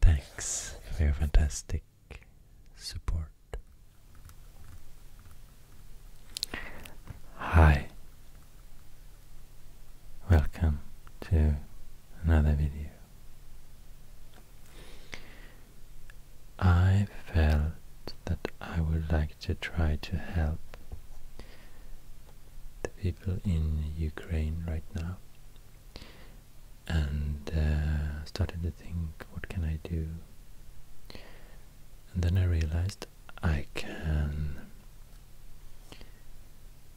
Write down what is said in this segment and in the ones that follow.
Thanks for your fantastic support. Hi, welcome to another video. I felt that I would like to try to help the people in Ukraine right now and uh, started to think, what can I do? And then I realized I can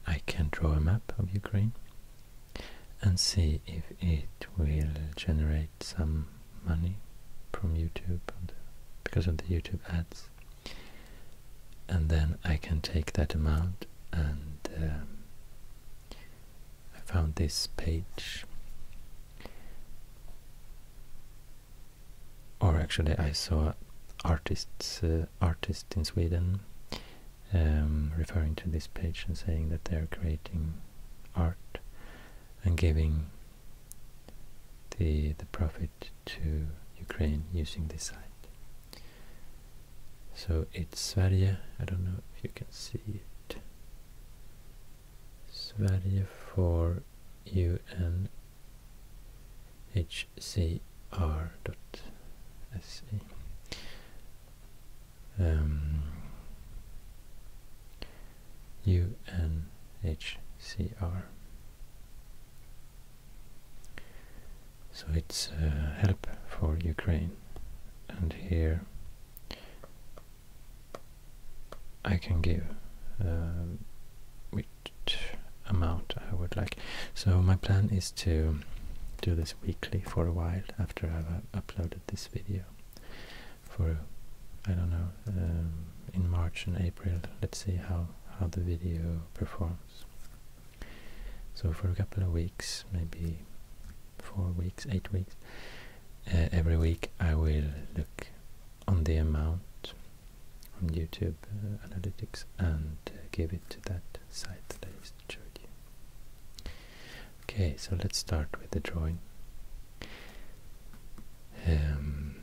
I can draw a map of Ukraine and see if it will generate some money from YouTube because of the YouTube ads and then I can take that amount and um, I found this page. Or actually, I saw artists uh, artists in Sweden um, referring to this page and saying that they're creating art and giving the the profit to Ukraine using this site. So it's Sverige. I don't know if you can see Sverige for unhcr.se. Um, UNHCR. So it's uh, help for Ukraine, and here I can give um, which amount I would like. So my plan is to do this weekly for a while after I've uh, uploaded this video for I don't know um, in March and April let's see how how the video performs so for a couple of weeks maybe four weeks, eight weeks, uh, every week I will look on the amount on YouTube uh, Analytics and uh, give it to that site that I just showed you. Okay, so let's start with the drawing. Um,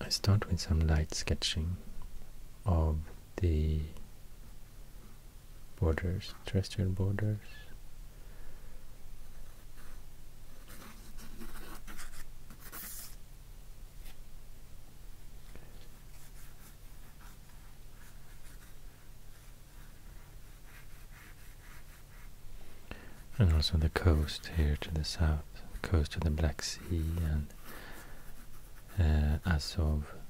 I start with some light sketching of the borders, terrestrial borders. And also the coast here to the south, coast of the Black Sea and uh, Azov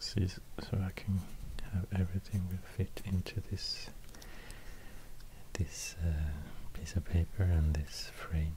so I can have everything will fit into this this uh, piece of paper and this frame.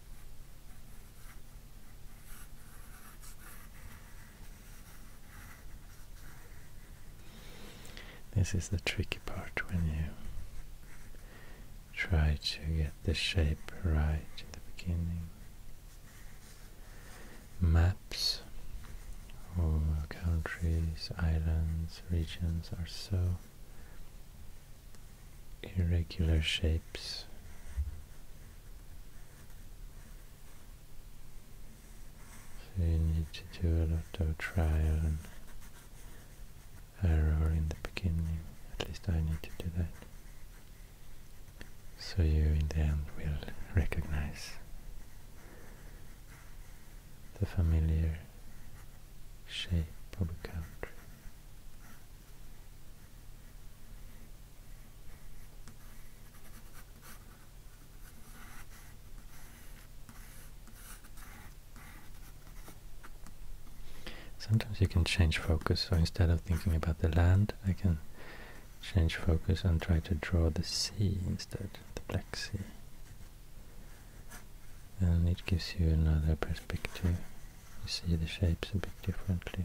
This is the tricky part when you try to get the shape right in the beginning. Maps of countries, islands, regions are so irregular shapes. So you need to do a lot of trial and error in the beginning, at least I need to do that. So you in the end will recognize the familiar shape of a country. Sometimes you can change focus, so instead of thinking about the land, I can change focus and try to draw the sea instead, the Black Sea. And it gives you another perspective you see the shapes a bit differently.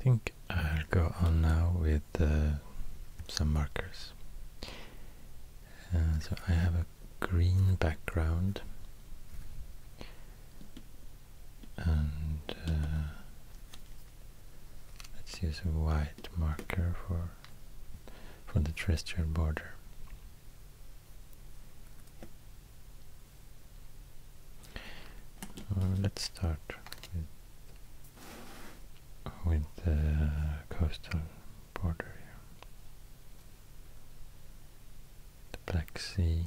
I think I'll go on now with uh, some markers. Uh, so I have a green background and uh, Let's use a white marker for for the terrestrial border. let's start with, with the coastal border here. The Black Sea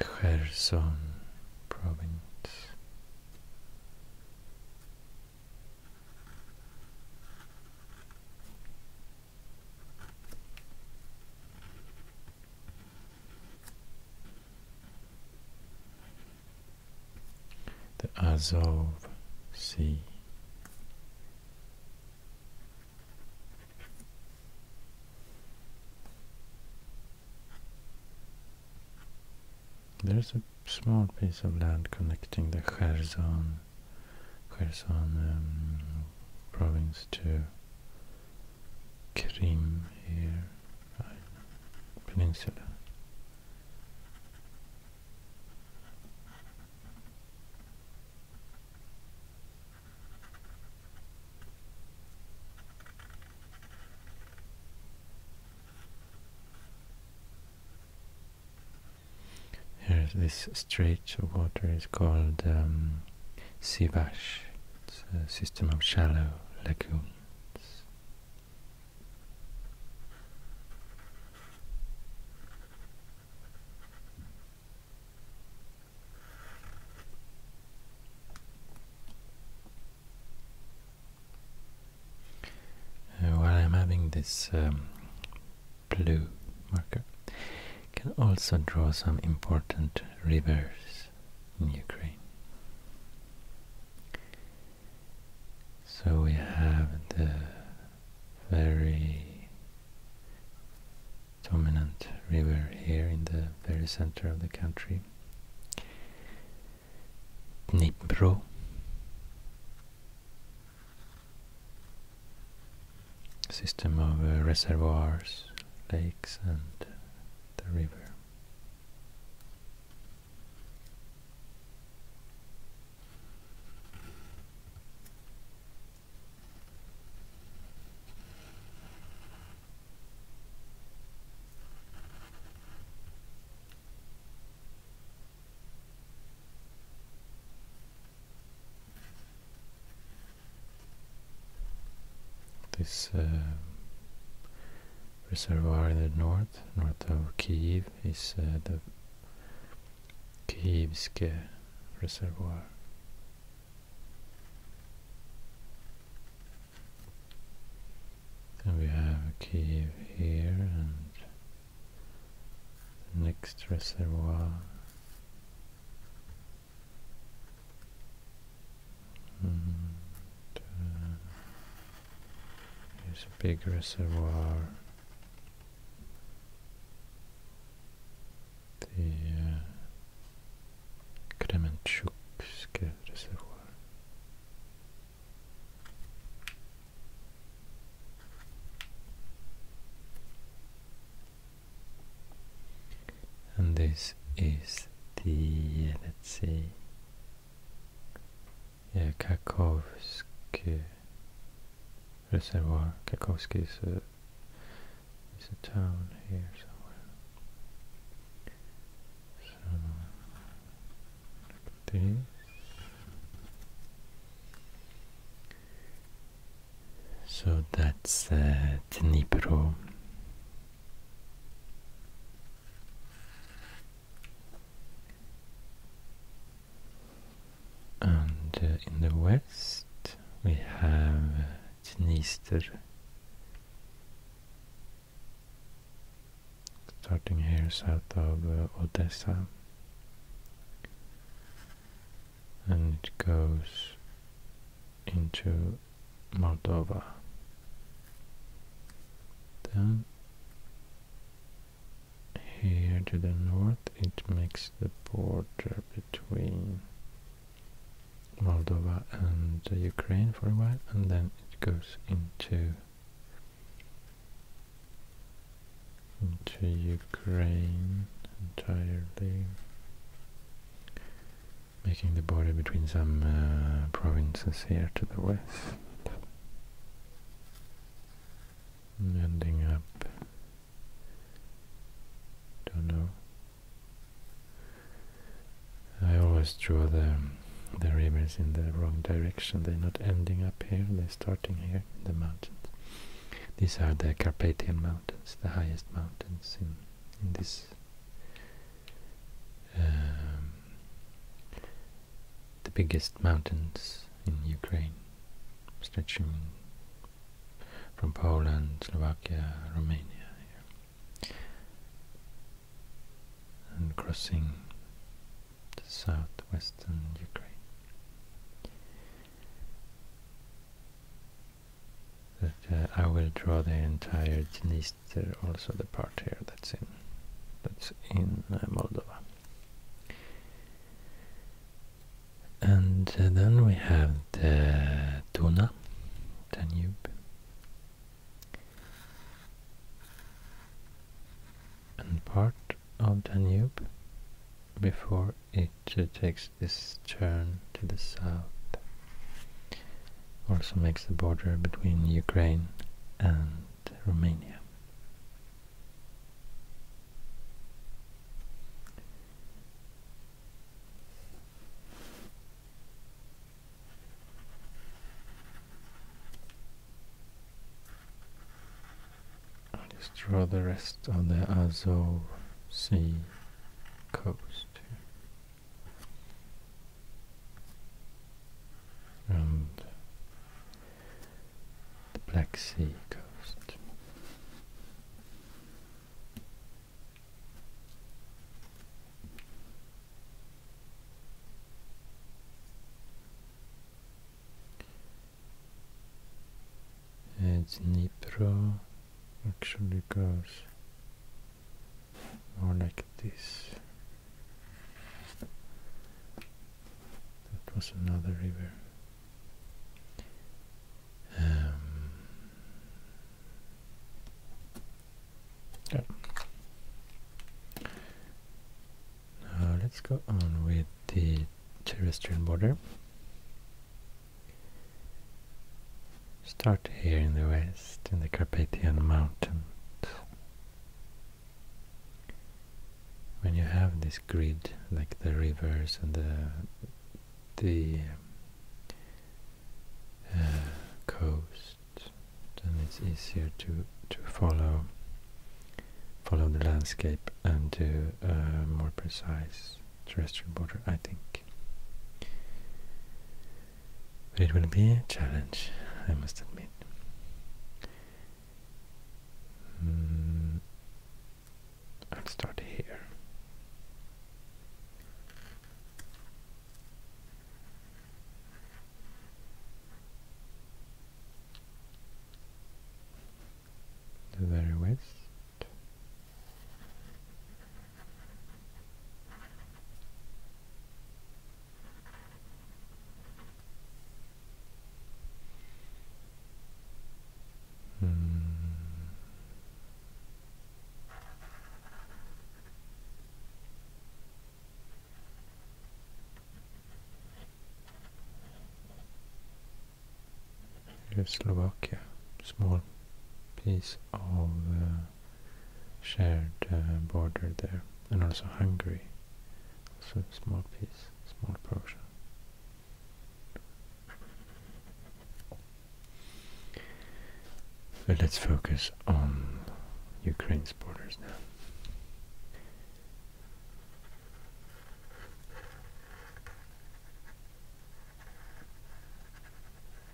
Kherson province the Azov Sea. There's a small piece of land connecting the Kherson, Kherson um, province to Krim here, right, peninsula. Here, this stretch of water is called um, it's a system of shallow lagoons. Uh, while I'm having this um, blue marker, can also draw some important rivers in Ukraine. So we have the very dominant river here in the very center of the country, Dnipro. System of uh, reservoirs, lakes, and the river. This uh, reservoir in the north, north of Kiev, is uh, the Kievske reservoir. And we have Kiev here and the next reservoir and, hmm. there's a big reservoir. The uh, reservoir and this is the let's see yeah Kakhovsky reservoir Kakhovsky is a is a town here somewhere so like so that's uh, Dnipro and uh, in the west we have uh, Dniester starting here south of uh, Odessa and it goes into Moldova. Then here to the north it makes the border between Moldova and Ukraine for a while and then it goes into into Ukraine entirely making the border between some uh, provinces here to the west. ending up, don't know. I always draw the the rivers in the wrong direction. They're not ending up here, they're starting here in the mountains. These are the Carpathian Mountains, the highest mountains in, in this um, the biggest mountains in Ukraine, stretching from Poland, Slovakia, Romania, and crossing the southwestern Ukraine that uh, I will draw the entire Dniester, also the part here that's in that's in uh, Moldova. And uh, then we have the Duna, Danube. And part of Danube before it takes this turn to the south. Also makes the border between Ukraine and Romania. I'll just draw the rest of the Azov Sea coast and the Black Sea coast. It's Dnipro actually goes more like this. That was another river. Um, yeah. Now let's go on with the terrestrial border. Start here in the west, in the Carpathian Mountains. When you have this grid, like the rivers and the the uh, coast, then it's easier to to follow follow the landscape and to a more precise terrestrial border, I think. But it will be a challenge, I must admit. Hmm. I'll start here. The very west. Hmm. Here's Slovakia, small piece of the uh, shared uh, border there, and also Hungary, also a small piece, small portion. But let's focus on Ukraine's borders now.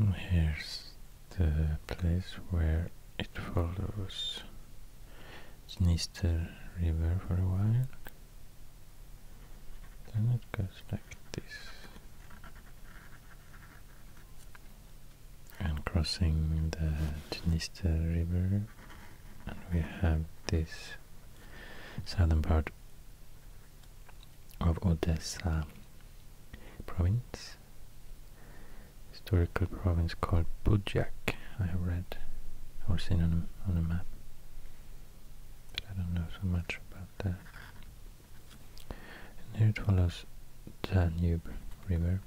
Mm, here's the place where it follows Dniester River for a while. Then it goes like this and crossing the Dniester River and we have this southern part of Odessa province historical province called Budjak I have read or seen on a, map but I don't know so much about that and here it follows Danube River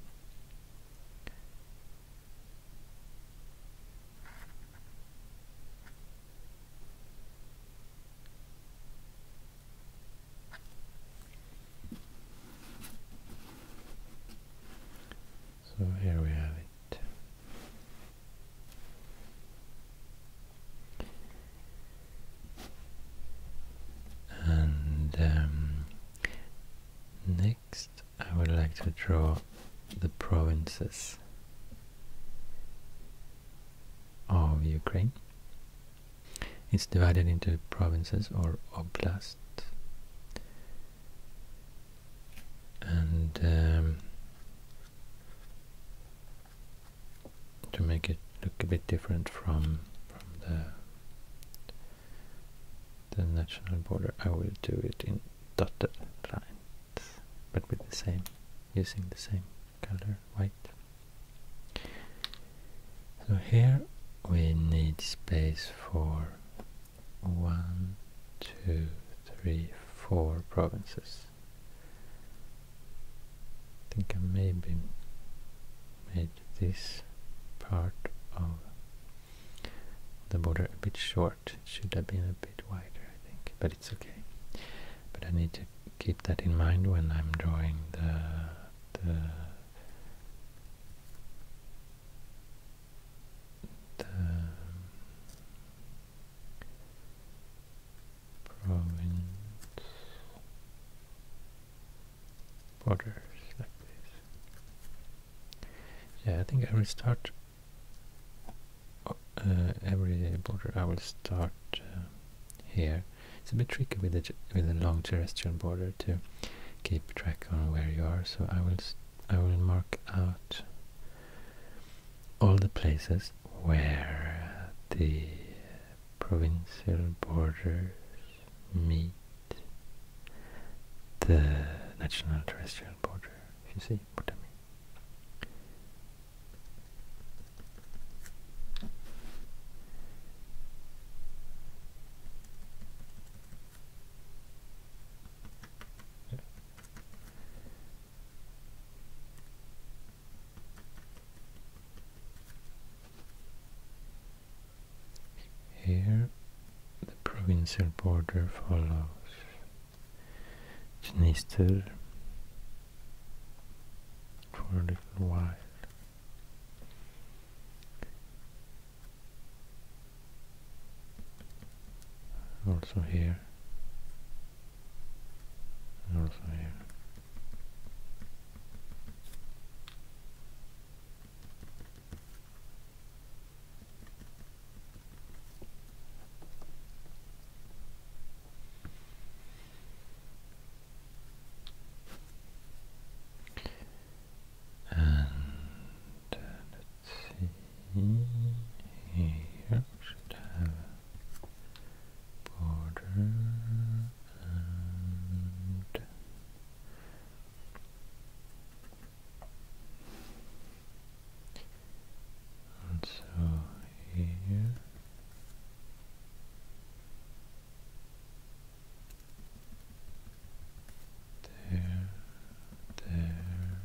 so here we have it. And um, next I would like to draw the provinces of Ukraine. It's divided into provinces or oblasts, And um, to make it look a bit different from, from the the national border, I will do it in dotted lines, but with the same, using the same color, white. So here we need space for one, two, three, four provinces. I think I maybe made this part of the border a bit short. It should have been a bit wider, I think, but it's okay. But I need to keep that in mind when I'm drawing the the the province borders like this. Yeah, I think I will start uh, every border. I will start uh, here. It's a bit tricky with the with the long terrestrial border to keep track on where you are. So I will I will mark out all the places where the provincial borders meet the national terrestrial border, if you see what I mean. Here the provincial border follows Dniester for a Also here, also here. And uh, let's see here should have border and and so here there, there,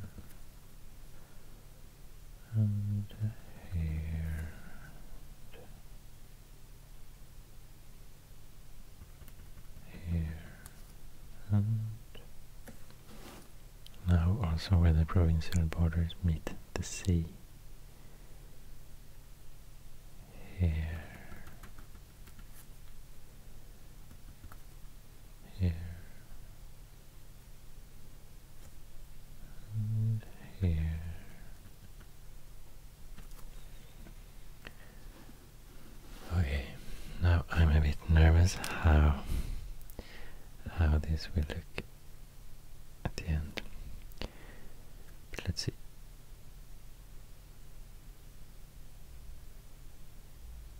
and here here and now also where the provincial borders meet the sea here here and here Okay, now I'm a bit nervous how how this will look at the end. let's see.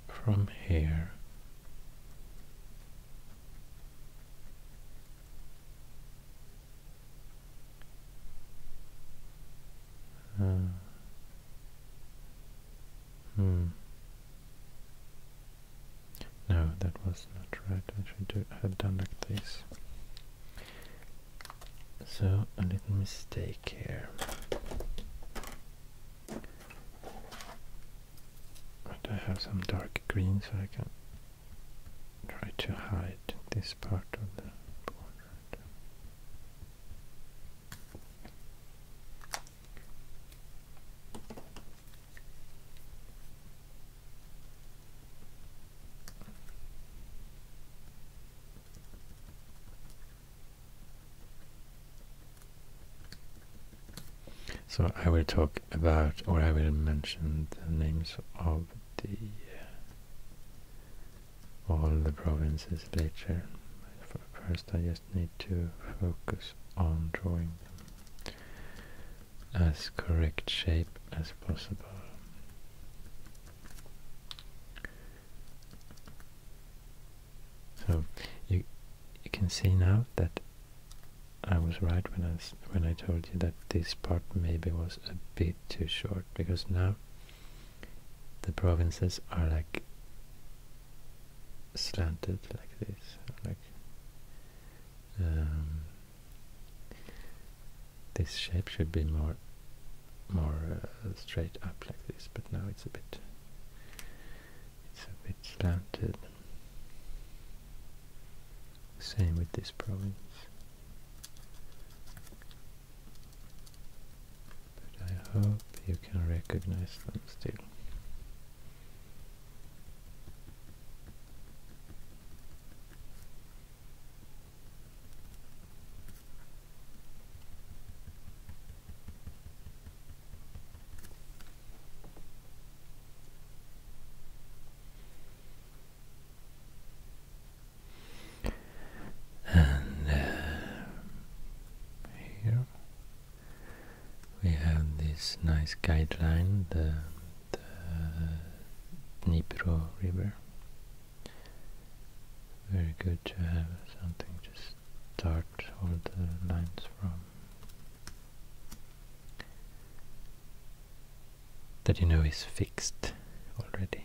From here Uh, Hmm. No, that was not right. I should have done like this. So, a little mistake here. But I have some dark green so I can try to hide this part of the border. So I will talk about, or I will mention the names of the all the provinces later. First I just need to focus on drawing them as correct shape as possible. So you you can see now that I was right when I when I told you that this part maybe was a bit too short because now the provinces are like slanted like this like um, this shape should be more more uh, straight up like this but now it's a bit it's a bit slanted same with this province but I hope you can recognize them still. And uh, here we have this nice guideline, the, Nipro River. Very good to have something to start all the lines from. That you know is fixed already.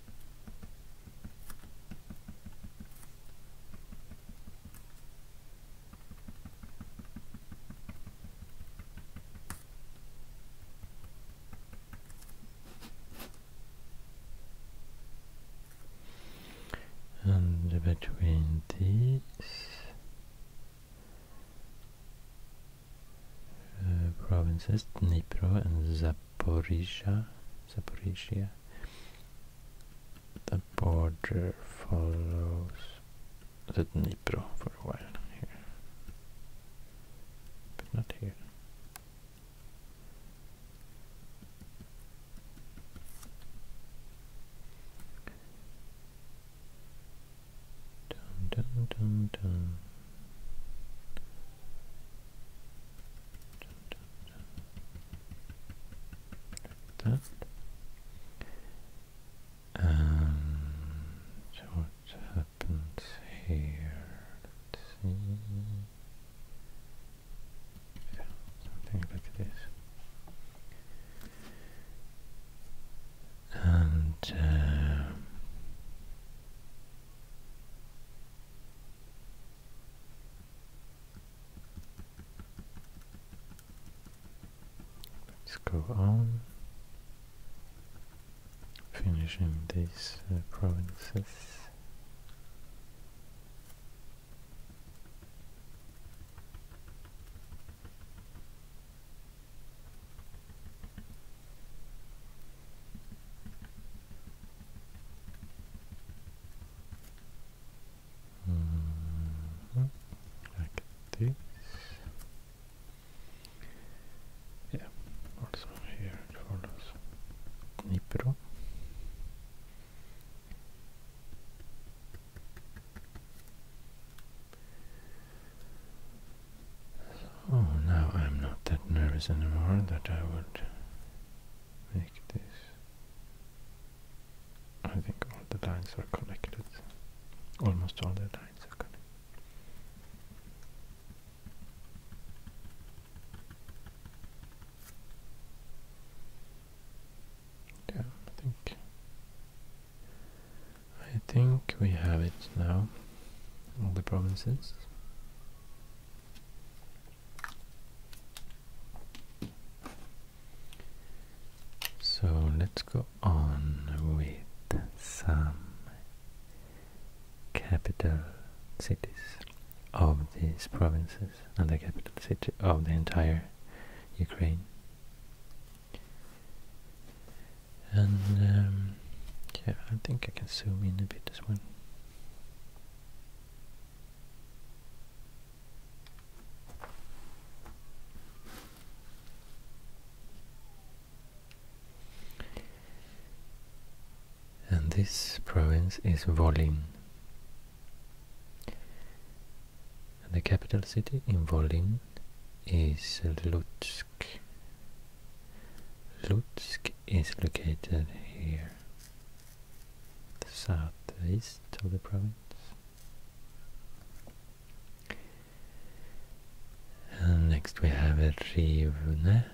and between these uh, provinces Dnipro and Zaporizhia, Zaporizhia the border follows the Dnipro for a while here, but not here. Dun, dun, dun, and what happens here? Let's see. Yeah, something like this. And uh, Let's go on finishing these uh, provinces. Mm-hmm. Like this. Yeah, also here it follows Nipro. Oh, now I'm not that nervous anymore that I would make this I think all the lines are connected. Almost all the lines are connected. Yeah, I think I think we have it now. All the provinces. So let's go on with some capital cities of these provinces and the capital city of the entire Ukraine. And um, yeah, I think I can zoom in a bit as well. And this province is Volyn. And the capital city in Volyn is Lutsk. Lutsk is located here the southeast of the province. next we have Rivne.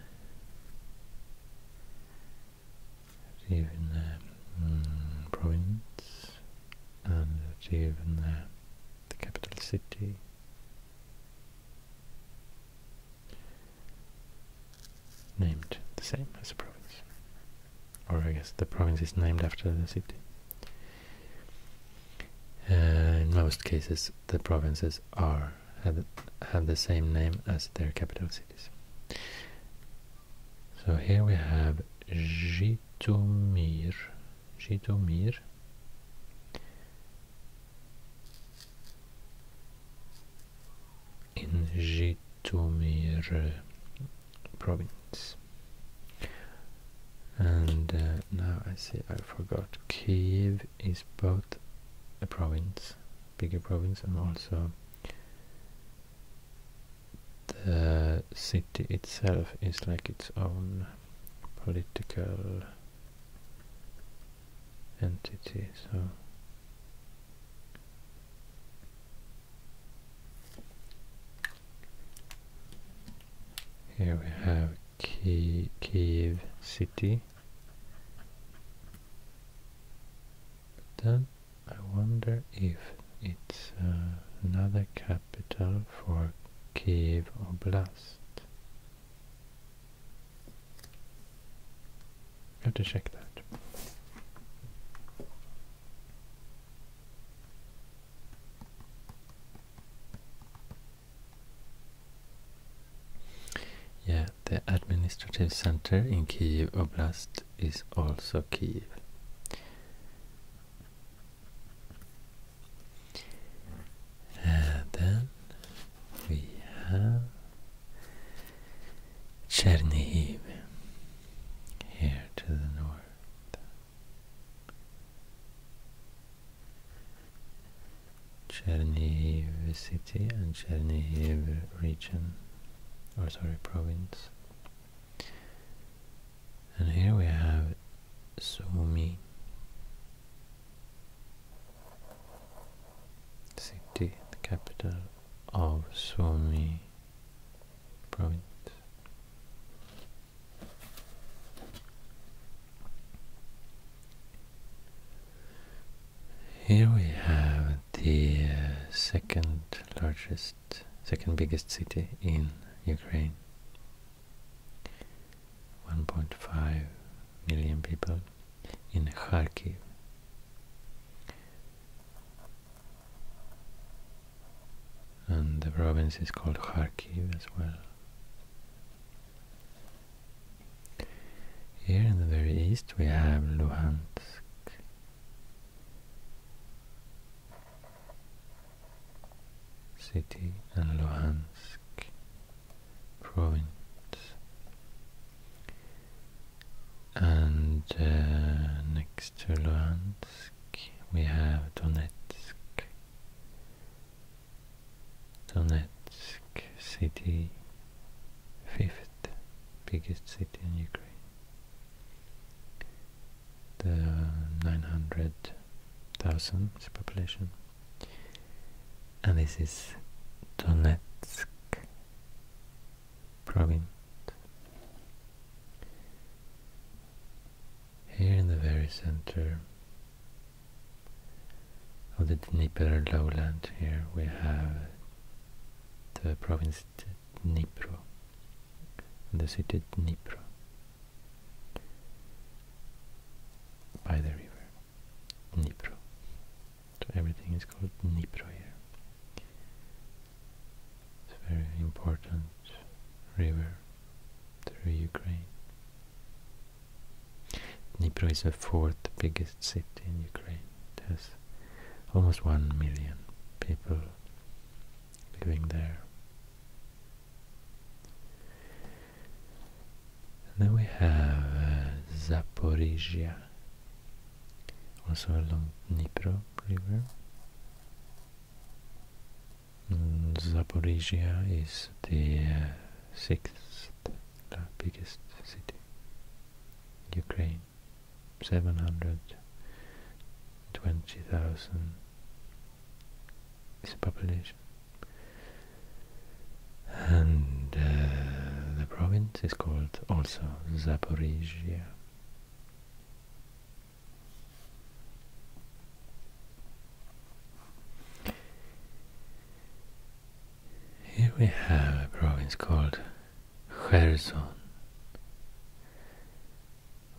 Rivne mm, province and Rivne, the capital city named the same as the province. Or I guess the province is named after the city. Uh, in most cases, the provinces are have, the same name as their capital cities. So here we have Jitomir. Jitomir. in Tomir province. And uh, now I see I forgot Kiev is both a province, bigger province, and also the city itself is like its own political entity. So here we have Ki Kiev city. then I wonder if it's uh, another capital for Kiev Oblast have to check that. Yeah, the administrative center in Kyiv Oblast is also Kyiv. then we have Chernihiv here to the north. Chernihiv city and Chernihiv region, or sorry, province. And here we have Sumi city, the capital of Sumi here we have the second largest, second biggest city in Ukraine. 1.5 million people in Kharkiv and the province is called Kharkiv as well. Here in the very east we have Luhansk. City and Luhansk province and uh, next to Luhansk we have Donetsk Donetsk city fifth biggest city in Ukraine the 900,000 population and this is Donetsk Brilliant. Here in the very center of the Dnieper lowland here we have the province Dnieper, and the city Dnieper, by the river Dnieper. So everything is called Dnipro here. It's a very important river through Ukraine. Dnipro is the fourth biggest city in Ukraine. It has almost one million people living there. And then we have uh, Zaporizhia, also along Nipro River. Mm, Zaporizhia is the uh, sixth biggest city. Ukraine, 720,000 is the population. And uh, the province is called also Zaporizhia. Here we have a province called Kherson,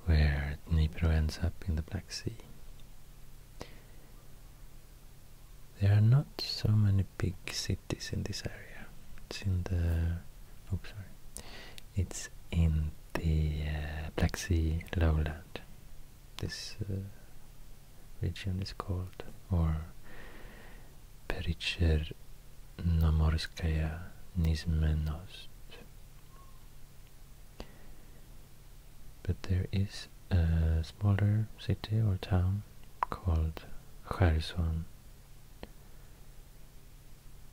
where Dnipro ends up in the Black Sea. There are not so many big cities in this area. It's in the oh, sorry. It's in the uh, Black Sea lowland. This uh, region is called, or Pericher Nomorskaya Nizmenost. But there is a smaller city or town called Kherson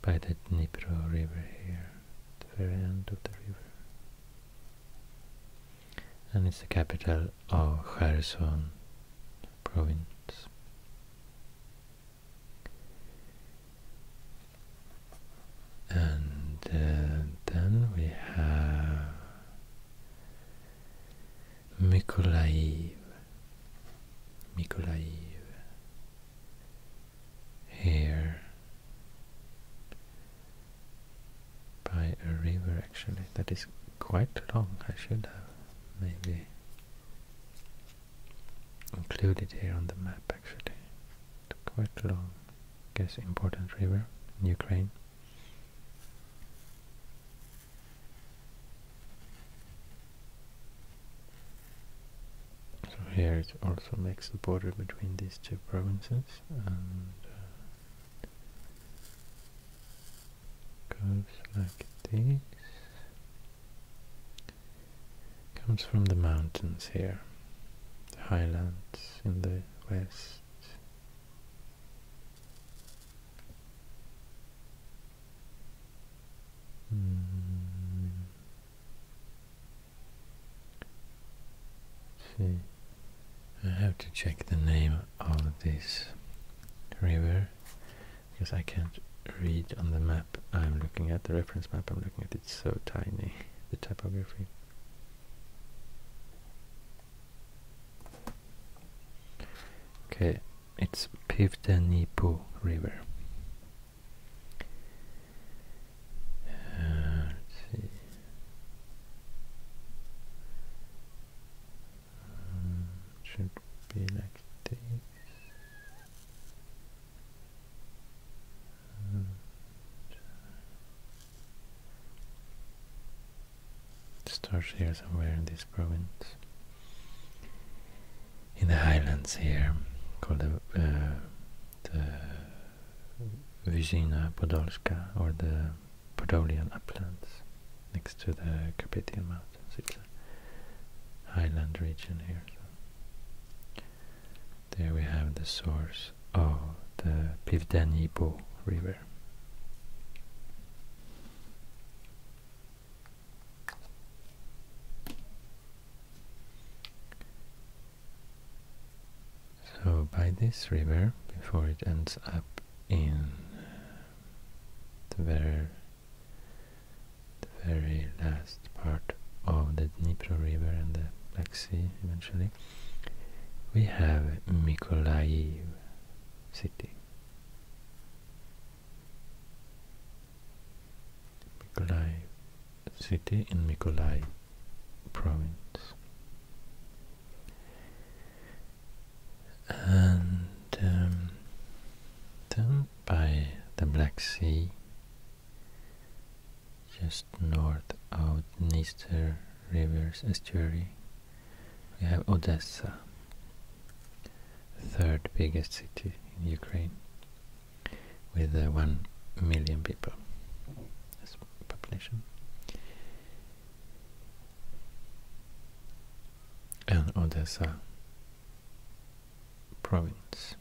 by the Dnipro river here, at the very end of the river. And it's the capital of Kherson province. And uh, then we have Mykolaiv. Mykolaiv, here by a river actually that is quite long. I should have maybe included here on the map actually. quite long, I guess important river in Ukraine. So here it also makes the border between these two provinces and uh, like this. Comes from the mountains here, the highlands in the west. Mm. See, I have to check the name of this river because I can't read on the map I'm looking at, the reference map I'm looking at, it's so tiny, the typography. Okay, it's Pivdenipo River. Uh, uh, should be like this. And uh, it starts here somewhere in this province in the highlands here called the, uh, Podolska or the Podolian uplands next to the Carpathian Mountains. It's a highland region here. there we have the source of the Pivdeni Pivdenibo River. So by this river, before it ends up in the very, the very last part of the Dnipro River and the Black Sea eventually, we have Mykolaiv city. Mykolaiv city in Mykolaiv province. And um, by the Black Sea, just north of Dniester River's estuary, we have Odessa third biggest city in Ukraine with uh, 1 million people as population. And Odessa province.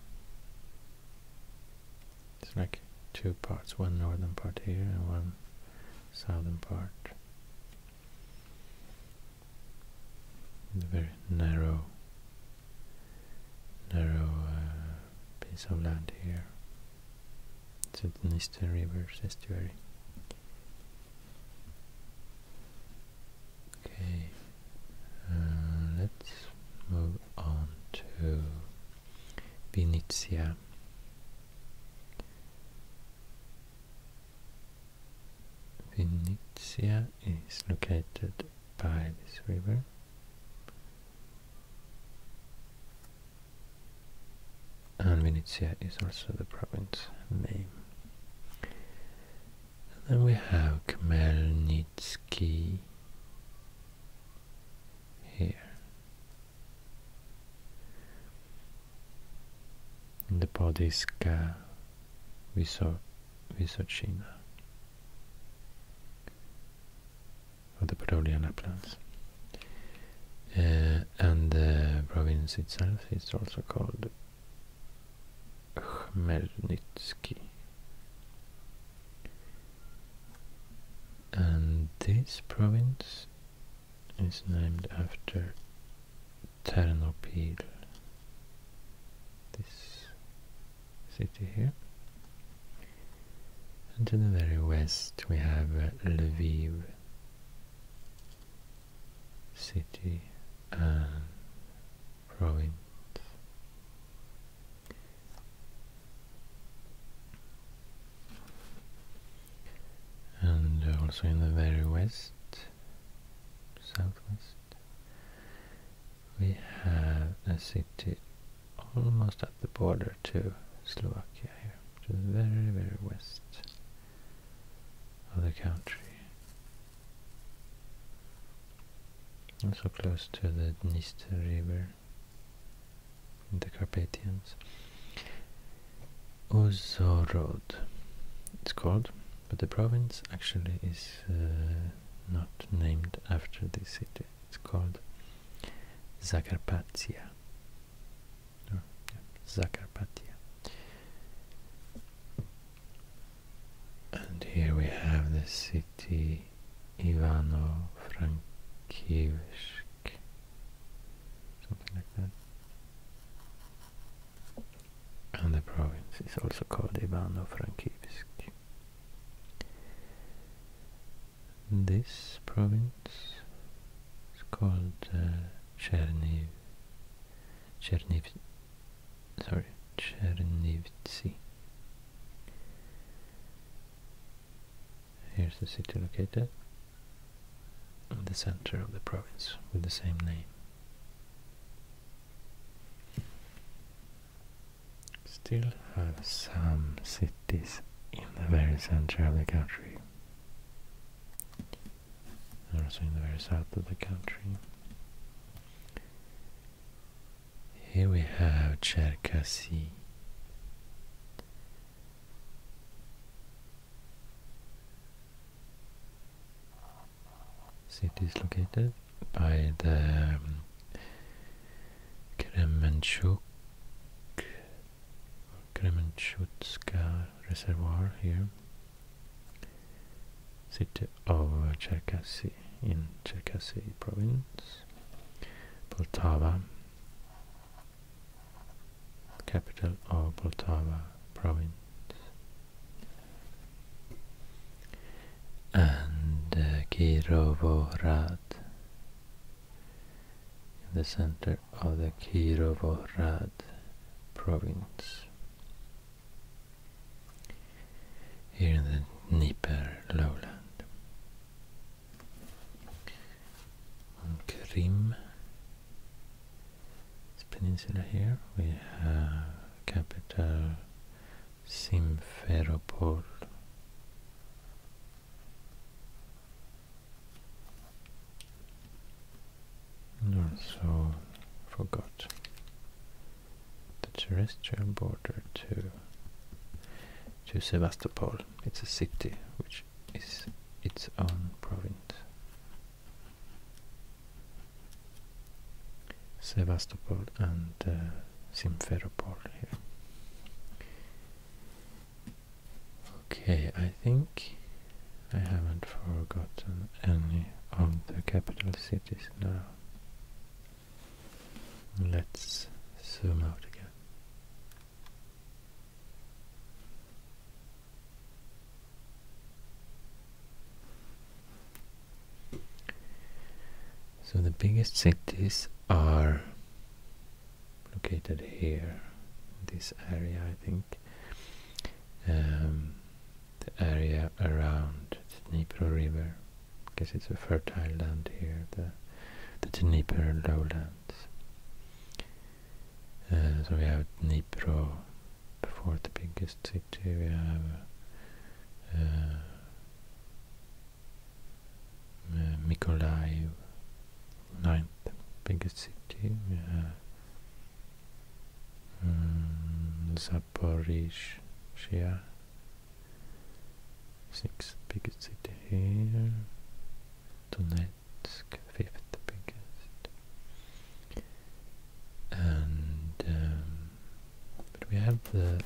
It's like two parts, one northern part here and one southern part. The very narrow, narrow uh, piece of land here. It's the Nistel river estuary. Okay, uh, let's move on to Vinnytsia. Vinnytsia is located by this river. And Vinnytsia is also the province name. And then we have Khmelnytsky here. In the Podilska we saw Visochina of the Podolian Uplands. Uh, and the province itself is also called Khmelnytsky. And this province is named after Ternopil, this city here. And to the very west we have uh, Lviv city and province. And also in the very west, southwest, we have a city almost at the border to Slovakia here, to very, very west of the country. so close to the Dniester River in the Carpathians. Uzo it's called, but the province actually is uh, not named after this city. It's called Zakarpatia. Oh, And here we have the city Ivano-Frankivsk, something like that and the province is also called Ivano-Frankivsk. This province is called uh, Chernivtsi. Here's the city located in the center of the province with the same name. Still have some cities in the very center of the country. Also in the very south of the country. Here we have Cherkasy city is located by the um, Kremenchuk Kremenchutska reservoir here city of Cherkasy in Cherkasy province Poltava capital of Poltava province and uh, Kirovorad in the center of the Kirovorad province here in the Dnieper lowland on Krim peninsula here we have capital Simferopol also forgot the terrestrial border to to Sevastopol. It's a city which is its own province. Sevastopol and uh, Simferopol here. Okay, I think I haven't forgotten any of the capital cities now. Let's zoom out again. So the biggest cities are located here, this area, I think. Um, the area around the Dnipro River, because it's a fertile land here, the, the Dnipro lowlands. Uh, so we have Dnipro before the biggest city, we have uh, ninth biggest city. Yeah. Mm, sixth biggest city here. Donetsk, fifth biggest. And um, but we have the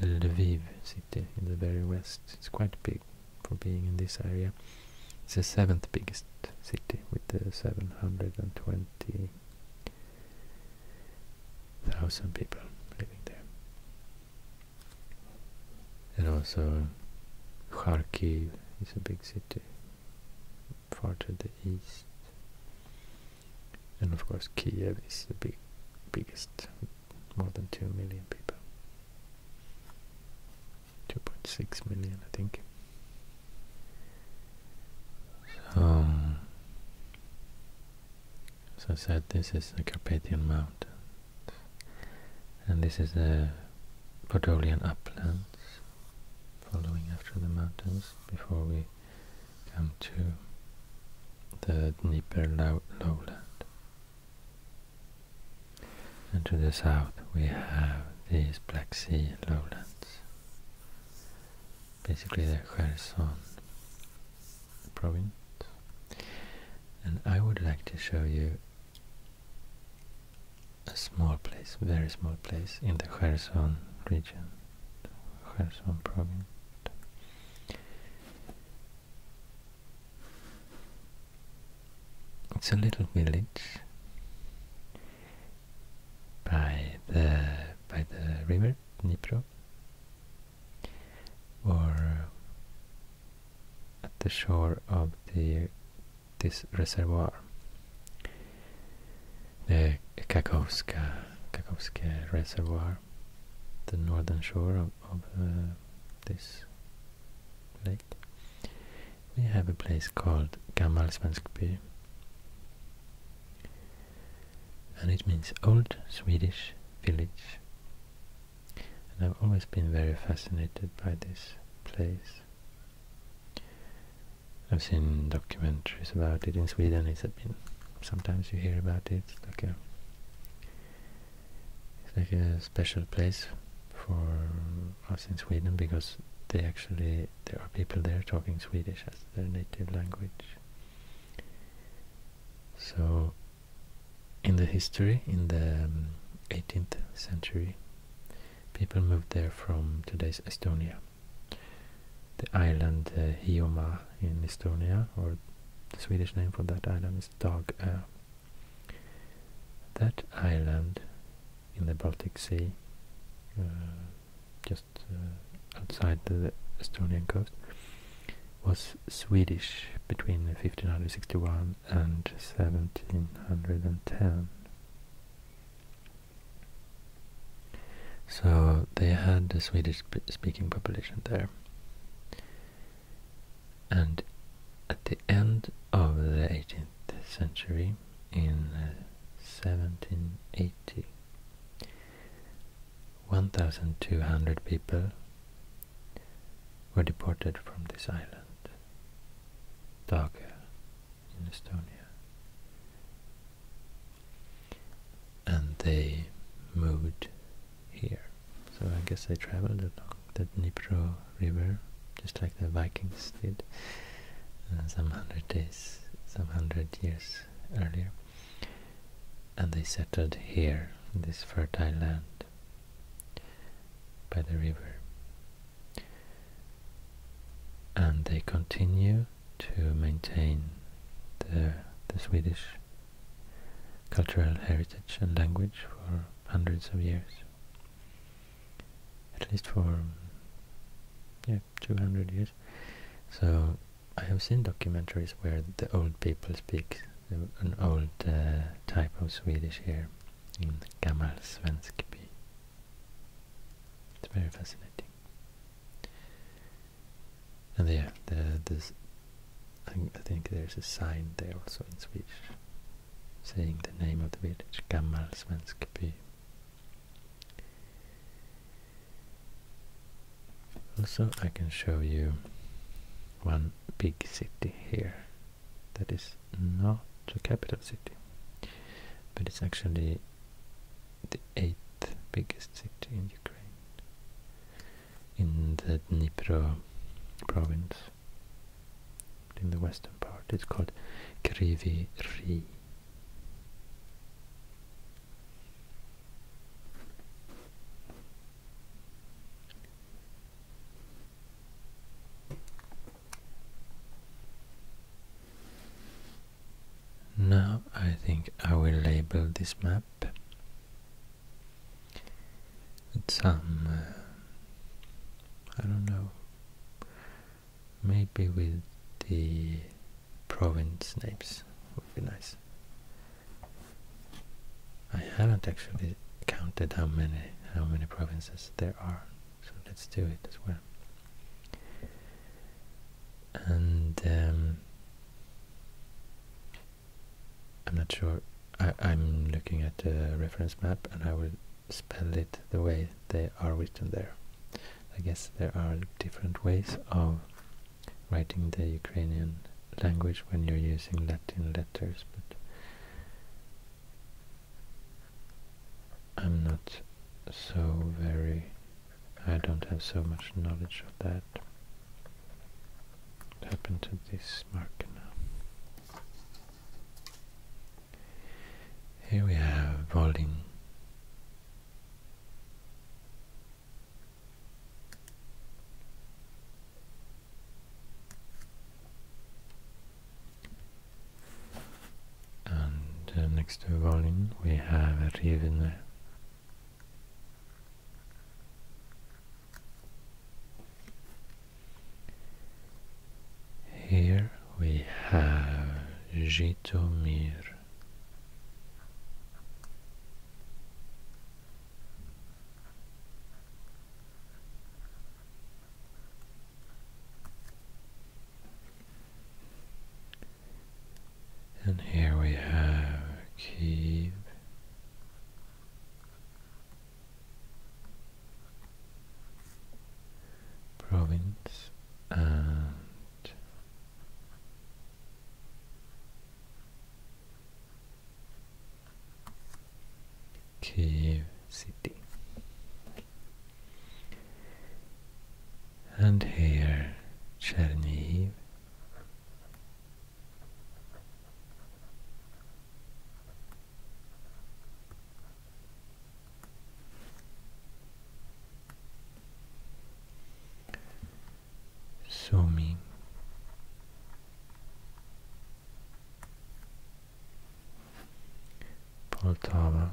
Lviv city in the very west. It's quite big for being in this area. It's the seventh biggest city with 720,000 people living there. And also Kharkiv is a big city far to the east and of course Kiev is the big, biggest, more than 2 million people, 2.6 million I think. Um, so, as I said, this is the Carpathian Mountains, and this is the Podolian uplands, following after the mountains before we come to the Dnieper lowland. And to the south we have these Black Sea lowlands, basically the Kherson province. And I would like to show you a small place, very small place in the Kherson region. It's a little village by the by the river Nipro, or at the shore of the this reservoir the Kakhovska, Kakhovska Reservoir, the northern shore of, uh, this lake. We have a place called Gammalsvenskby, and it means Old Swedish Village. And I've always been very fascinated by this place. I've seen documentaries about it in Sweden. It's been sometimes you hear about it. It's like a like a special place for us in Sweden because they actually there are people there talking Swedish as their native language. So in the history, in the 18th um, century, people moved there from today's Estonia the island uh, Hioma in Estonia, or the Swedish name for that island is Dagö. That island in the Baltic Sea, uh, just uh, outside the Estonian coast, was Swedish between 1561 and 1710. So they had a Swedish-speaking population there. And at the end of the 18th century, in 1780, uh, 1,200 people were deported from this island, Daga in Estonia, and they moved here. So I guess they traveled along the Dnipro River, just like the Vikings did uh, some hundred days, some hundred years earlier. And they settled here, in this fertile land, by the river. And they continue to maintain the Swedish cultural heritage and language for hundreds of years. At least for yeah, 200 years. So I have seen documentaries where the old people speak an old uh, type of Swedish here in Gammal svenska. It's very fascinating. And there, there I, think there's a sign there also in Swedish, saying the name of the village, Gammal Svensk by. Also, I can show you one big city here that is not a capital city, but it's actually the eighth biggest city in Ukraine, in the Dnipro province, in the western part. It's called Kryvyi Rih. Now I think I will label this map with some, uh, I don't know, maybe with the province names would be nice. I haven't actually counted how many how many provinces there are, so let's do it as well. And um, I'm not sure. I, am looking at the reference map and I will spell it the way they are written there. I guess there are different ways of writing the Ukrainian language when you're using Latin letters, but I'm not so very I don't have so much knowledge of that. What happened this marker Here we have Volding. And uh, next to Volin we have Rivne here we have Jitomir. And here we have Kiev. Province and Kiev City. And here Chernihiv Zooming Poltava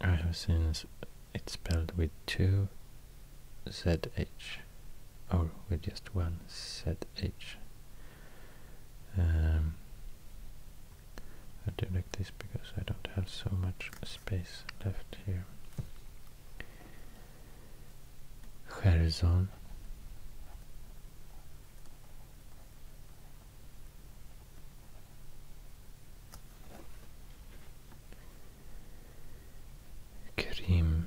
I have seen it's spelled with two ZH or with just one ZH. Um, I do like this because I don't have so much space left here. Kherson. Krim.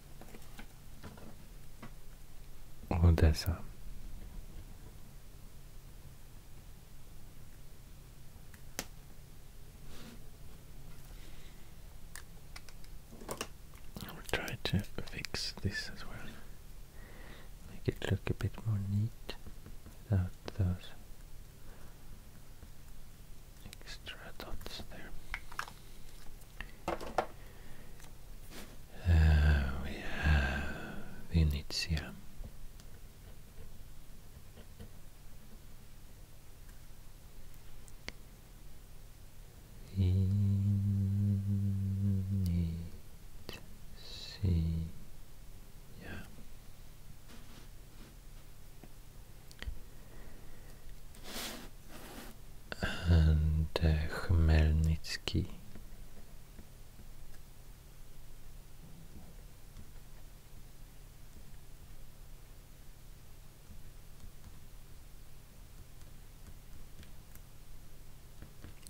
Odessa. I will try to fix this as well. Make it look a bit more neat without those extra dots there. Uh, we have Venetia. Venetia and uh,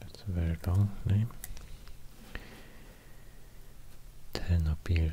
That's a very long name. Ternopil.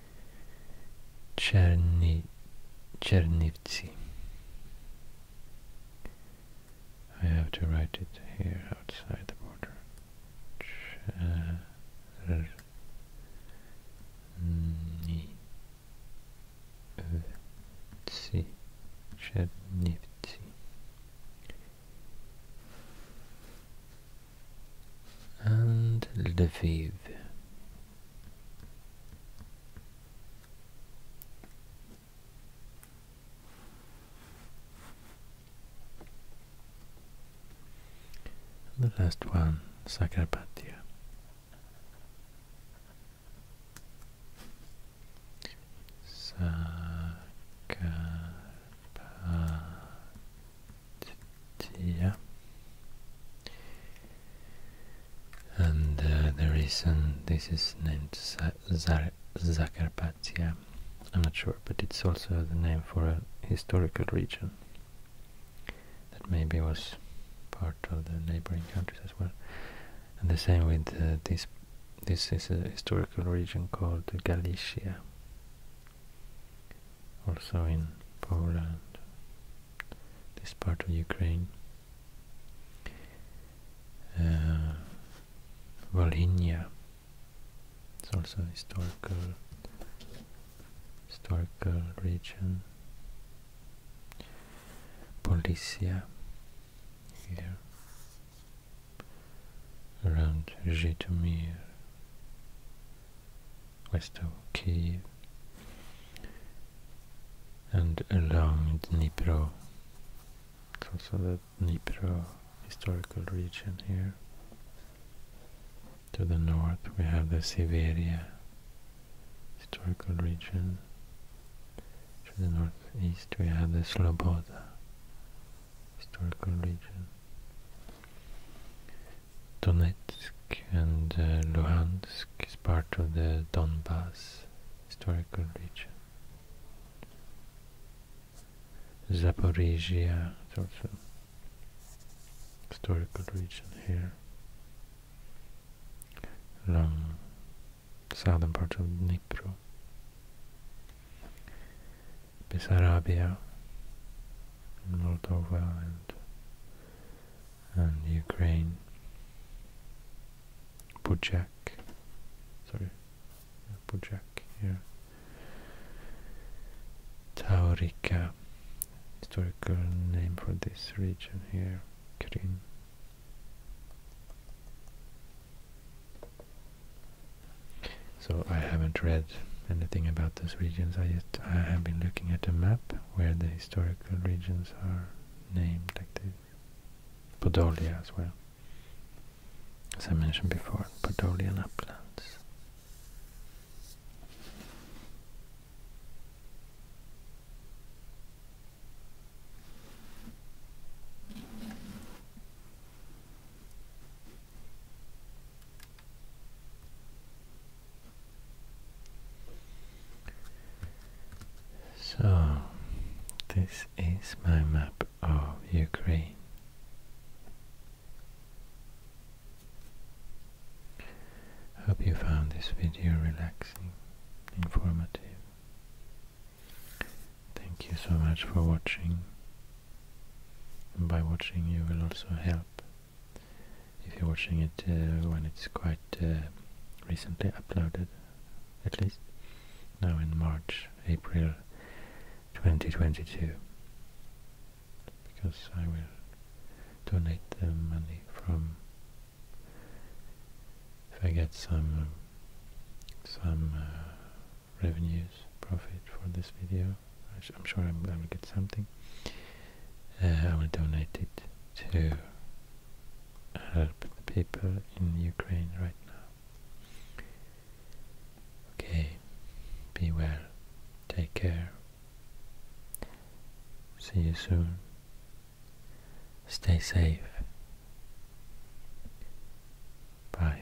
Czerni, Chernivtsi. I have to write it here outside the border. Chernivtsi. Chernivtsi. And Lviv. And the last one, Sakrapatya. Sakarpatia and uh, the reason this is named Zakarpattia, I'm not sure, but it's also the name for a historical region that maybe was part of the neighboring countries as well. And the same with uh, this. This is a historical region called Galicia, also in Poland, this part of Ukraine. Uh, Volhynia, it's also a historical, historical region. Polisia, here, around Zhytomyr west of Kiev and along Dnipro. It's also the Dnipro historical region here. To the north we have the Severia historical region. To the northeast we have the Sloboda historical region. Donetsk and uh, Luhansk is part of the Donbas historical region. Zaporizhia is also historical region here along southern part of Dnipro. Bessarabia, Moldova and and Ukraine, Bujak, sorry, Bujak here, Taurica, historical name for this region here, Krim. So I haven't read anything about those regions. I just I have been looking at the map where the historical regions are named like this. Podolia as well. As I mentioned before, Podolian uplands. So, this is my map of Ukraine. Hope you found this video relaxing, informative. Thank you so much for watching. by watching you will also help if you're watching it uh, when it's quite uh, recently uploaded, at least now in March, April 2022, because I will donate the money from if I get some some uh, revenues profit for this video. I'm sure I'm, I will get something. I will donate it to help uh, the people in Ukraine right now. Okay, be well, take care, see you soon, stay safe, bye.